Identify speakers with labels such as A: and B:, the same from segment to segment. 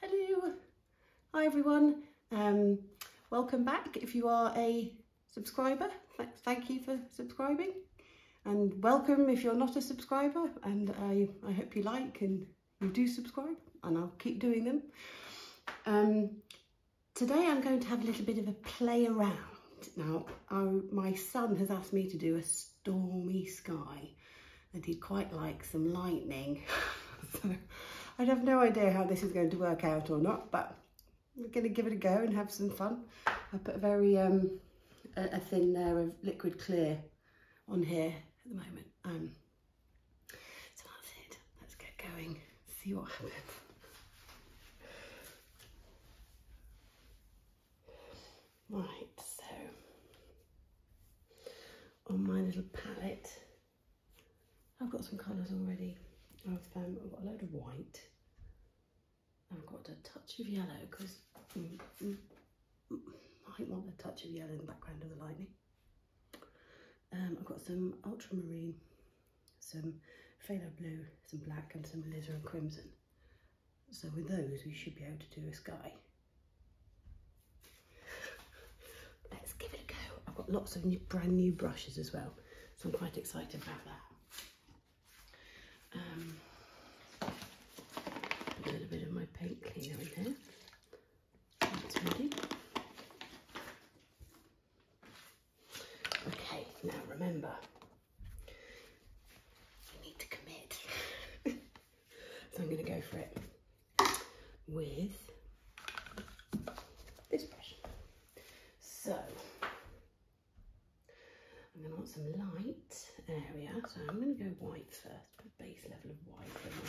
A: Hello. Hi everyone. Um, welcome back. If you are a subscriber, thank you for subscribing. And welcome if you're not a subscriber and I, I hope you like and you do subscribe and I'll keep doing them. Um, today I'm going to have a little bit of a play around. Now, my son has asked me to do a stormy sky. and he'd quite like some lightning. so I'd have no idea how this is going to work out or not, but we're going to give it a go and have some fun. I put a very um, a, thin layer of liquid clear on here at the moment. Um, so that's it. Let's get going. See what happens. Right, so on my little palette, I've got some colours already. I've, um, got a load of white. I've got a touch of yellow because mm, mm, mm, I want a touch of yellow in the background of the lightning. Um, I've got some ultramarine, some phthalo blue, some black and some lizar and crimson. So with those, we should be able to do a sky. Let's give it a go. I've got lots of new, brand new brushes as well, so I'm quite excited about that. Um, a little bit of my paint cleaner in here. That's ready. Okay, now remember, you need to commit. So I'm going to go for it with this brush. So I'm going to want some light area. So I'm going to go white first, put a base level of white in.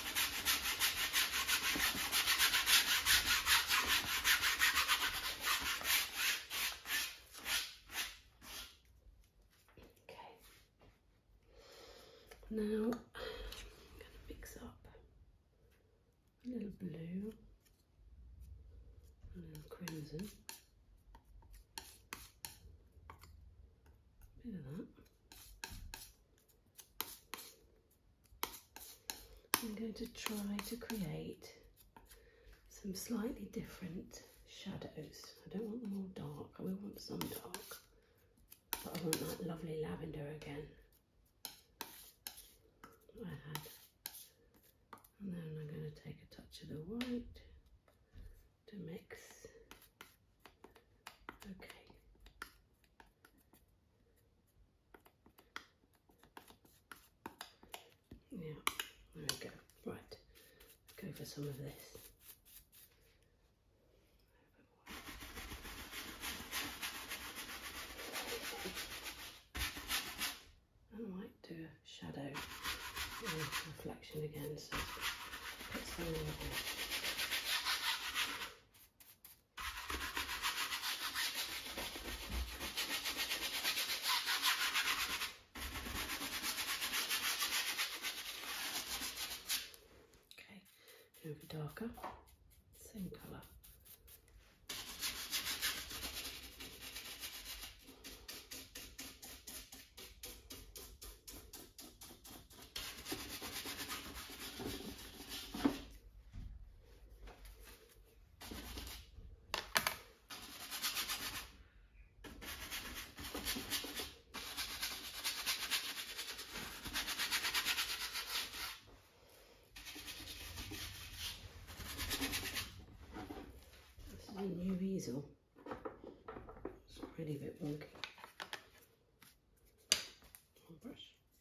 A: Okay. Now I'm going to mix up a little blue, a little crimson. A bit of that. I'm going to try to create some slightly different shadows. I don't want them all dark. I want some dark, but I want that lovely lavender again. I had. And then I'm going to take a touch of the white to mix. Okay. Yeah, there we go. Right, go for some of this. I might do a shadow reflection again, so put some in here. Okay, over darker, same colour new easel. It's already a bit wonky. Brush.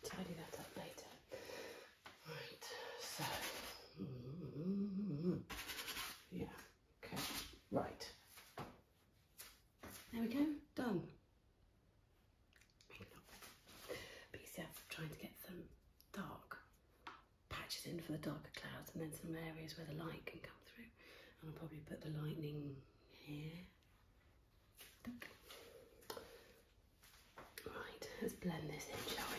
A: Can tidy that up later. Right, so mm -hmm. yeah. Okay, right. There we go, done. Maybe not. trying to get some dark patches in for the darker clouds and then some areas where the light can come through. And I'll probably put the lightning here. Right, let's blend this in, shall we?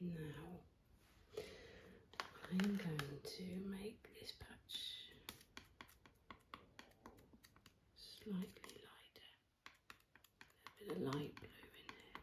A: Now I am going to make this patch slightly lighter. A bit of light blue in there.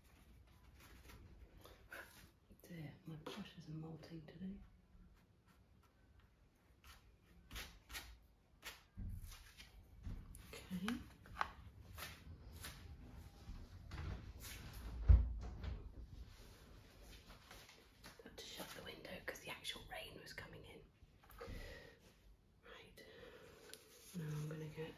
A: There, oh my brush are molting today. Okay. Had to shut the window because the actual rain was coming in. Right. Now I'm going to get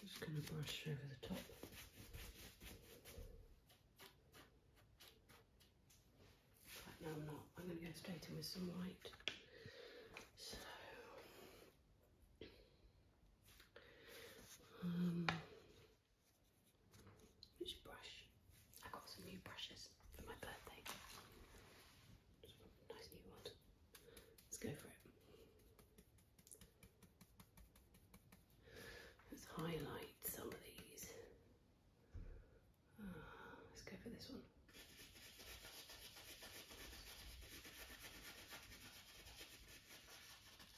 A: I'm just going to brush over the top. no, I'm not. I'm going to go straight in with some white. Um, which brush? I got some new brushes for my birthday. Nice new ones. Let's go for it. Let's highlight some of these. Ah, let's go for this one.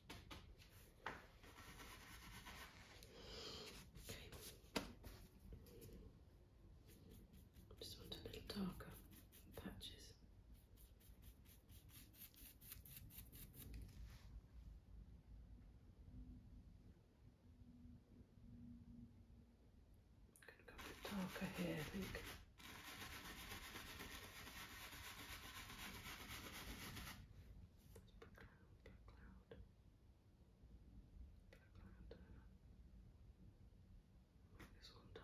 A: I just want a little darker patches. Could go a bit darker here, I think. Let's put cloud, dark cloud, dark cloud. Move this one down.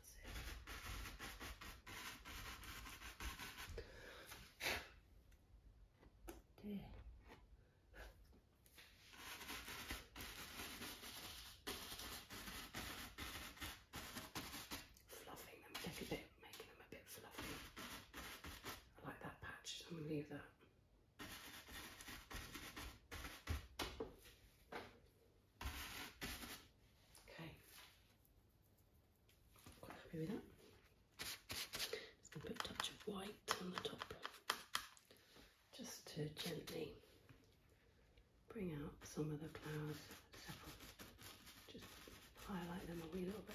A: Fluffing them a bit, making them a bit fluffy. I like that patch, so I'm going to leave that. Okay. Quite happy with that. Just going to put a touch of white on the top just to gently bring out some of the clouds. Just highlight them a wee little bit.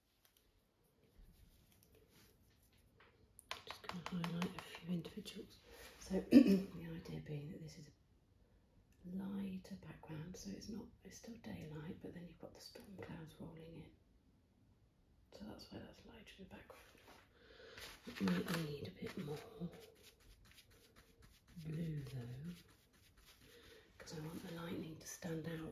A: just going to highlight a few individuals. So the idea being that this is a lighter background, so it's not it's still daylight, but then you've got the storm clouds rolling in. So that's why that's lighter in the background. It might need a bit more blue though, because I want the lightning to stand out.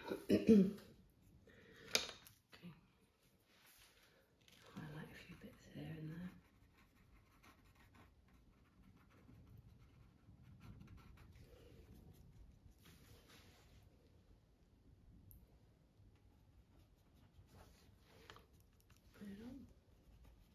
A: okay. Highlight a few bits there and there. Put it on.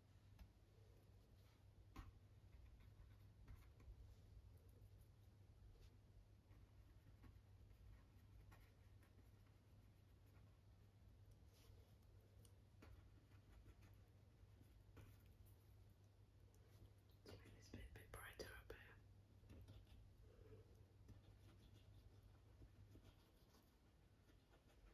A: It's maybe it's a bit, bit brighter up here.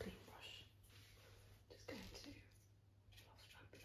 A: clean brush. Just going to last and blend.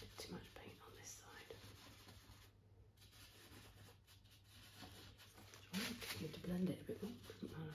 A: Bit too much paint on this side. I need to blend it a bit more, doesn't matter.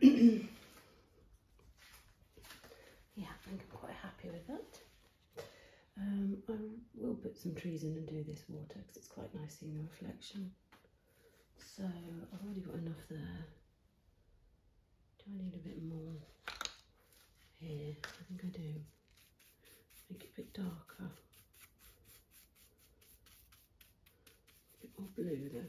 A: yeah, I think I'm quite happy with that. Um, I will put some trees in and do this water because it's quite nice seeing the reflection. So I've already got enough there. Do I need a bit more here? I think I do. Make it a bit darker. A bit more blue though.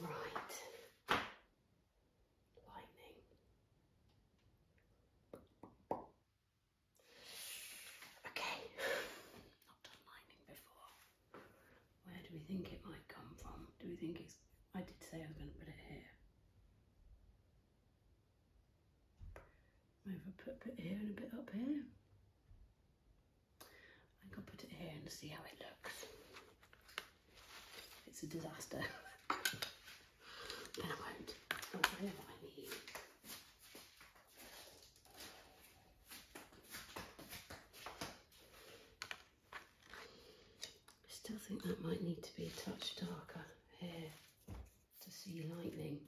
A: Okay. Right. Lightning. Okay. Not done lightning before. Where do we think it might come from? Do we think it's I did say I was going to put it here. Maybe I put a bit here and a bit up here. I think I'll put it here and see how it looks. It's a disaster. then I won't. Oh, I still think that might need to be a touch darker here to see lightning.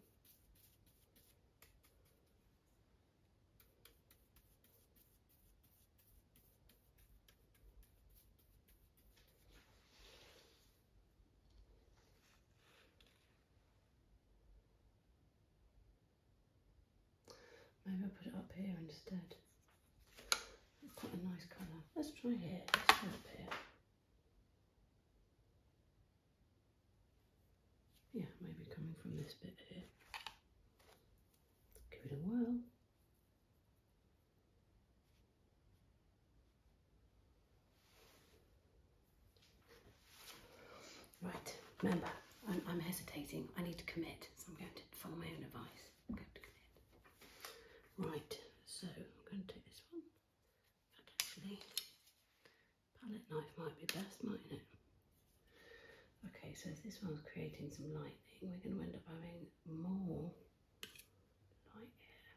A: Maybe i put it up here instead. quite a nice colour. Let's try here. Yeah, maybe coming from this bit here. Give it a whirl. Right, remember, I'm, hesitating. I need to commit, so I'm going to follow my own advice. I'm going to commit. Right, so I'm going to take this one palette knife might be best, mightn't it? Okay, so if this one's creating some lightning, we're going to end up having more light here. here.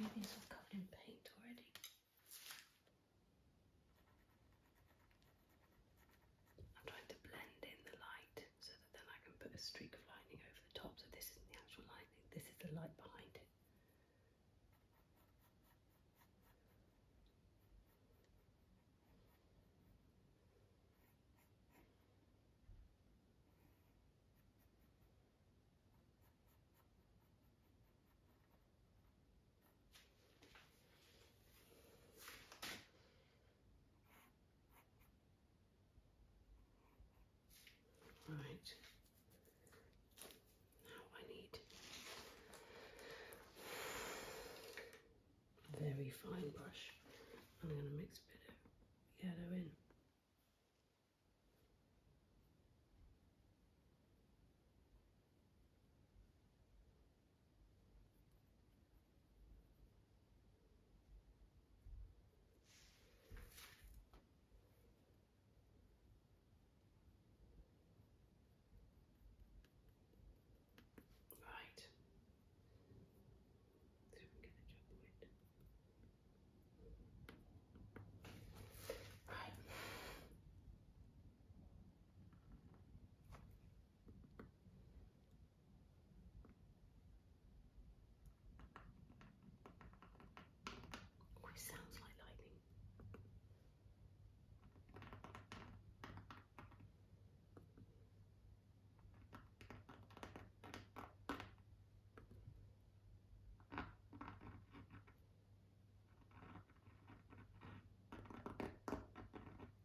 A: Everything's all covered in paint already. I'm trying to blend in the light so that then I can put a streak of lightning over the top. So this isn't the actual lightning, this is the light behind it. Right. Now I need a very fine brush. I'm going to mix a bit of yellow in. Right. So I'm gonna jump it. Right. Oh, it sounds like lightning.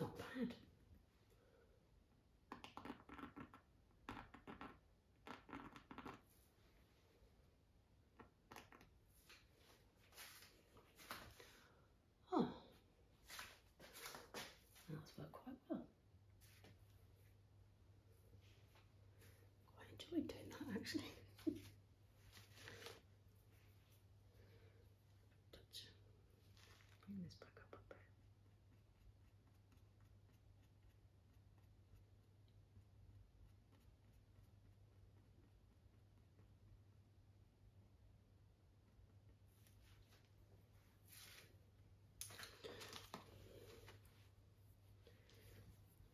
A: Not bad. Oh, that's worked quite well. Quite enjoyed doing that actually. Touch. Bring this back up a bit.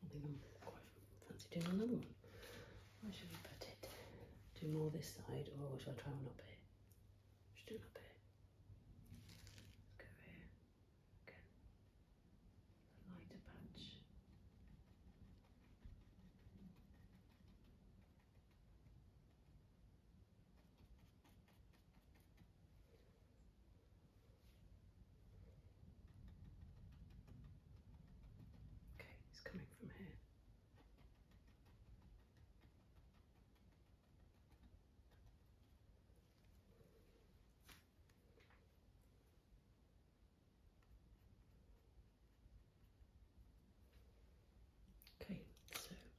A: I think I'm quite fancy doing another one. Where should we put it? Do more this side or should I try one up here? Should do it up here. Let's go here. Okay. lighter patch. Okay, it's coming from here. Okay, so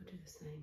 A: I'll do the same. Right.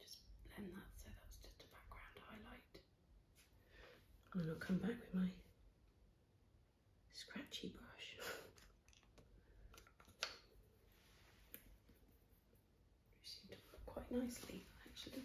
A: Just blend that so that's just a background highlight. And I'll come back with my scratchy brush. Which seemed to work quite nicely actually.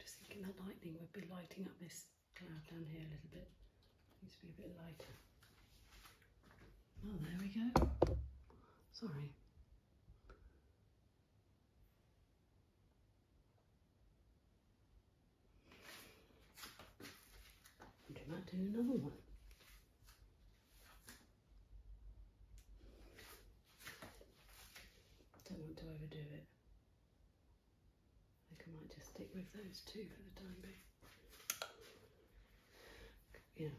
A: Just thinking that lightning would be lighting up this cloud down here a little bit. Needs to be a bit lighter. Oh, there we go. Sorry. Do not do another one. Don't want to overdo it. I think I might just stick with those two for the time being. Yeah.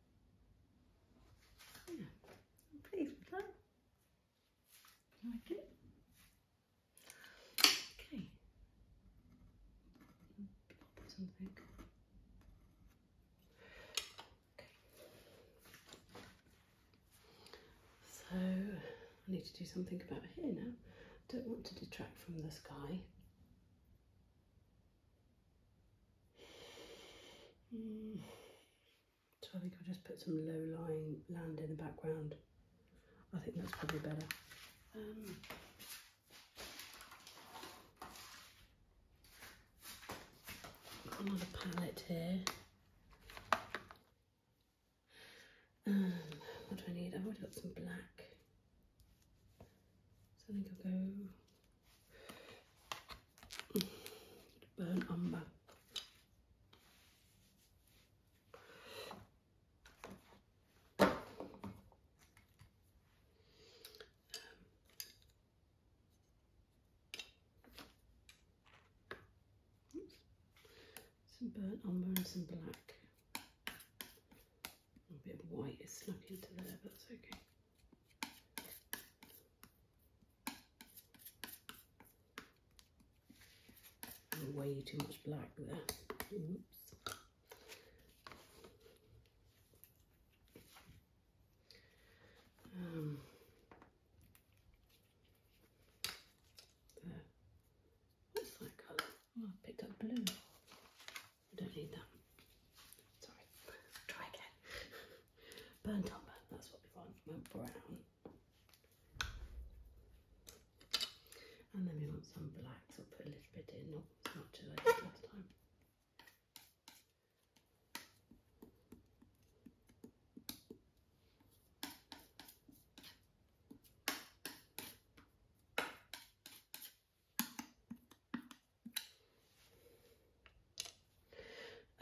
A: Yeah, I'm You like it? Okay. something. Okay. So I need to do something about here now. Don't want to detract from the sky. Mm. So I think I'll just put some low-lying land in the background. I think that's probably better. Um, another palette here. Um, what do I need? I've already got some black. So I think I'll go burn umber. Um, some burnt umber and some black. A bit of white is snuck into there, but that's okay. Way too much black there. Oops. Um, What's that colour? Oh, I picked up blue. I don't need that. Sorry. Try again. burnt umber, that's what we want, went brown. And then we want some black, so I'll put a little bit in, not as much as I did last time.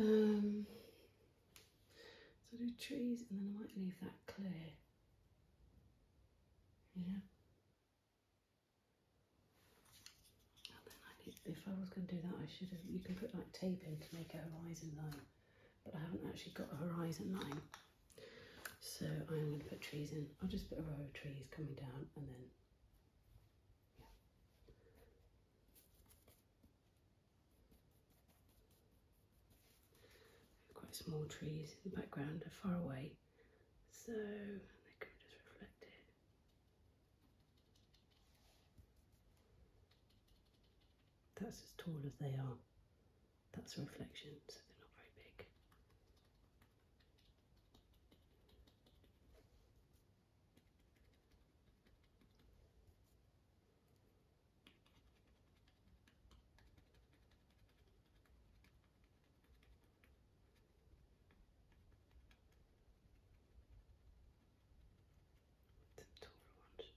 A: Um, so do trees and then I might leave that clear. Yeah. if I was going to do that, I should have. You can put like tape in to make a horizon line, but I haven't actually got a horizon line. So I'm going to put trees in. I'll just put a row of trees coming down and then Quite small trees in the background are far away, so they can just reflect That's as tall as they are. That's a reflection, so they're not very big the tougher ones.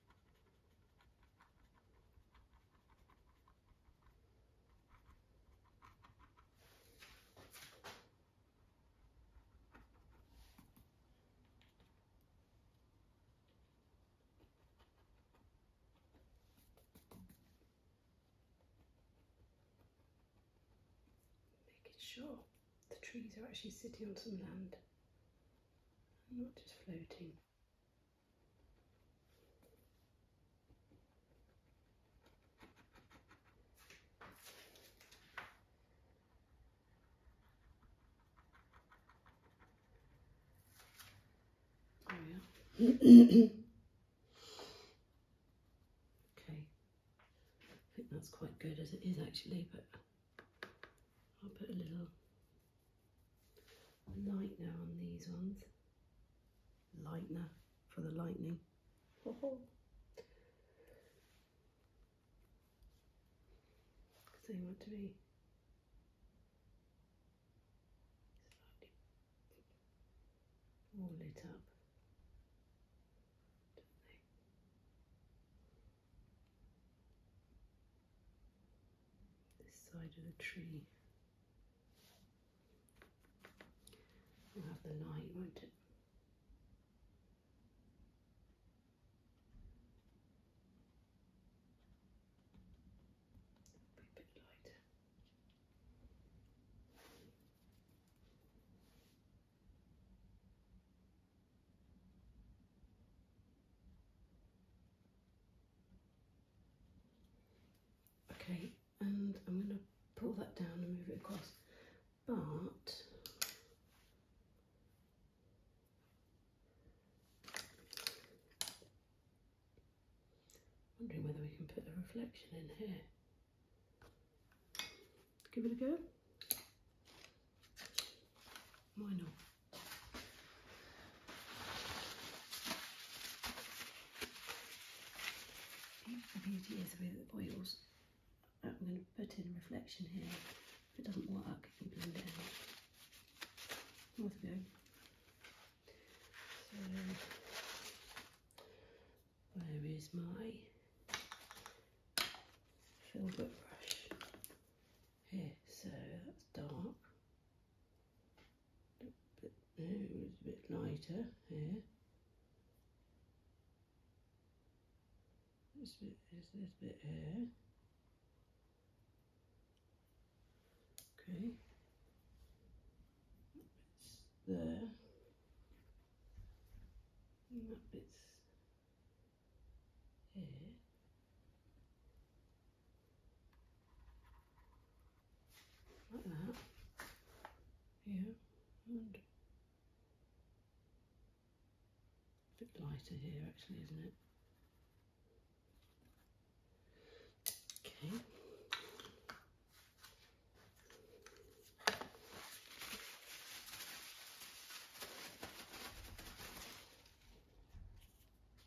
A: Making sure the trees are actually sitting on some land and not just floating. Oh, okay, I think that's quite good as it is actually, but I'll put a little a lightener on these ones. Lightener for the lightning. Because oh they want to be all lit up this side of the tree. We'll have the light, won't it? Be a bit lighter. Okay, and I'm going to pull that down and move it across. But wondering whether we can put a reflection in here. Give it a go. Why not? The beauty is with oils, I'm going to put in reflection here. If it doesn't work, you can blend it out. Off we go. So, where is my filbert brush? here, so that's dark. A bit, it was a bit lighter here. This bit, this, bit here. Okay. It's there. that bit's here. Like that. Yeah. And a bit lighter here actually, isn't it? Okay.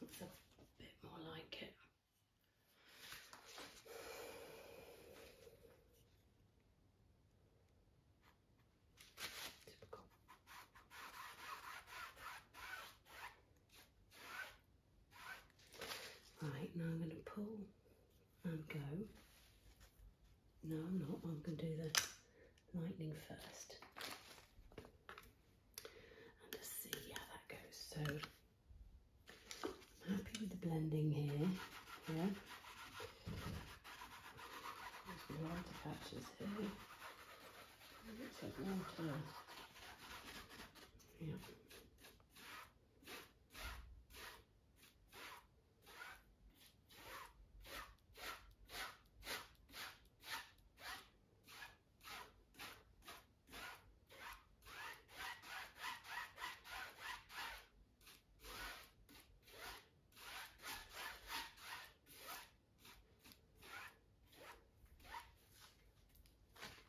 A: Looks a bit more like it. Typical. Right, now I'm going to pull and go. No, I'm not. I'm going to do the lightning first. And just see how that goes. So I'm happy with the blending here. Yeah. There's lighter patches here. It looks like water. Yeah.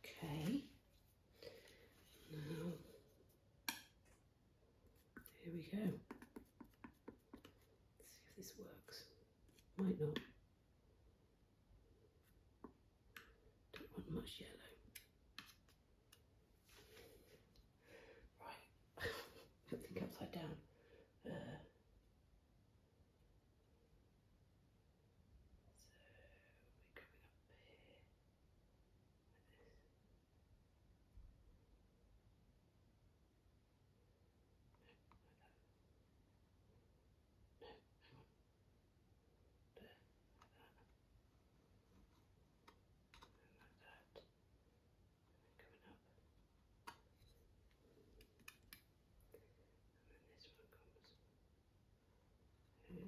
A: Okay, now here we go. see if this works. Might not. Don't want much yellow. Right, put the upside down. Uh, so we're coming up here there, and like that, and then coming up, and then this one comes here, and up. Then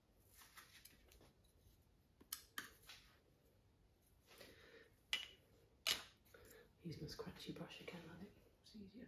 A: Use my scratchy brush again on easier.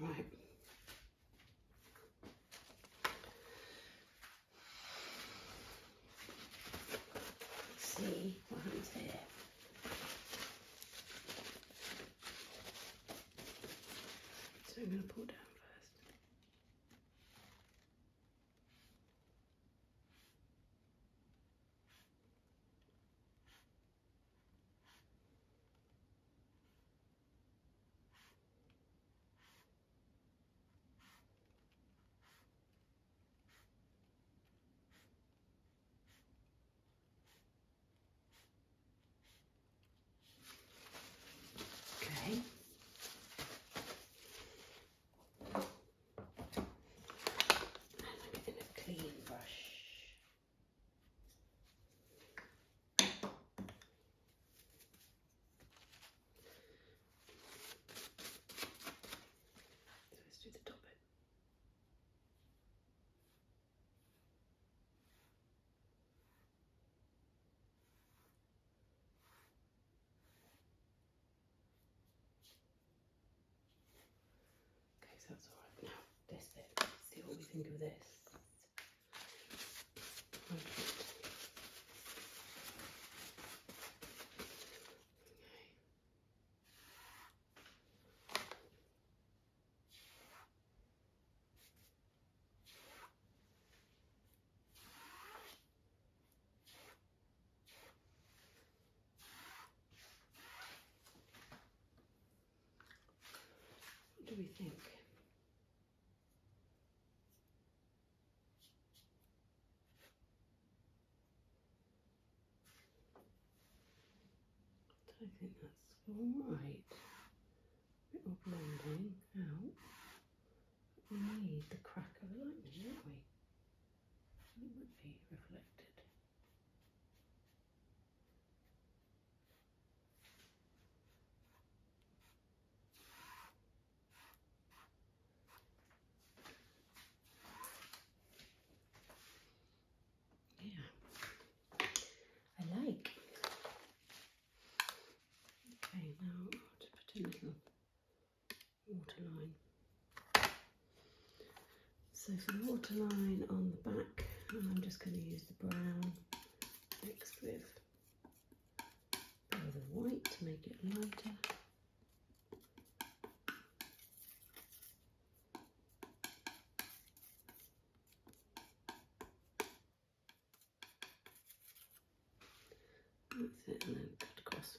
A: Right. Let's see what happens here. So I'm going to pull down. Okay. And I'm going to clean brush so let's do the top bit. Okay, so that's alright. Now, this bit, let's see what we think of this. Okay. What do we think? I think that's all right. A will more blending out. We need the crack of lightning, don't we? It might be reflected. Yeah, I like. Okay, now I'll just put a little waterline. So for the waterline on the back, I'm just going to use the brown mixed with a bit of white to make it lighter. That's it, and then cut across.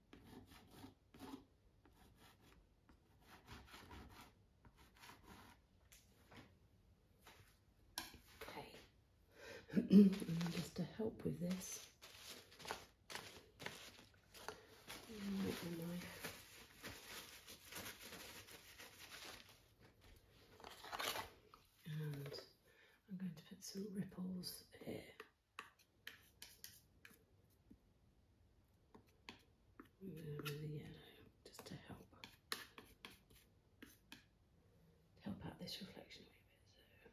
A: just to help with this, I'm going to put some ripples here. And then with the yellow, just to help to help out this reflection a bit. So.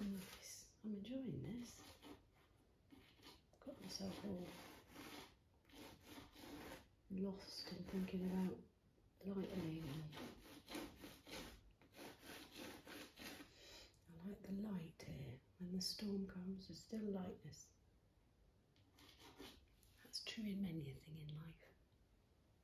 A: Nice. I'm enjoying this. Got myself all lost in thinking about lightning. I like the light here. When the storm comes, there's still lightness. That's true in many a thing in life.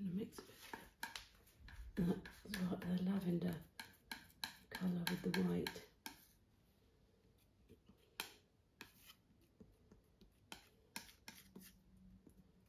A: I'm going to mix a bit of lavender colour with the white.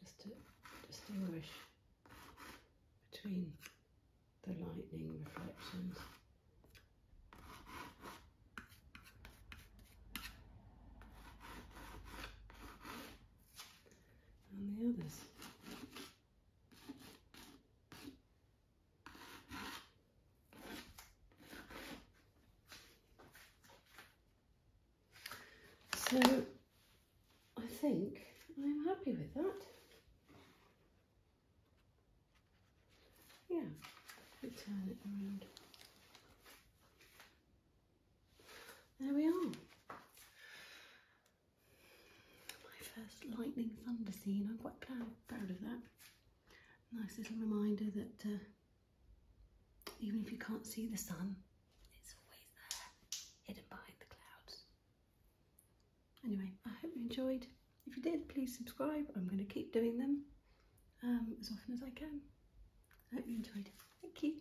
A: Just to distinguish between the lightning reflections. and the others. So I think I'm happy with that. Yeah, we turn it around. There we are my first lightning thunder scene. I'm quite proud, of that. Nice little reminder that uh, even if you can't see the sun, it's always there, hidden behind the clouds. Anyway, I hope you enjoyed. If you did, please subscribe. I'm going to keep doing them um, as often as I can. I hope you enjoyed. Thank you.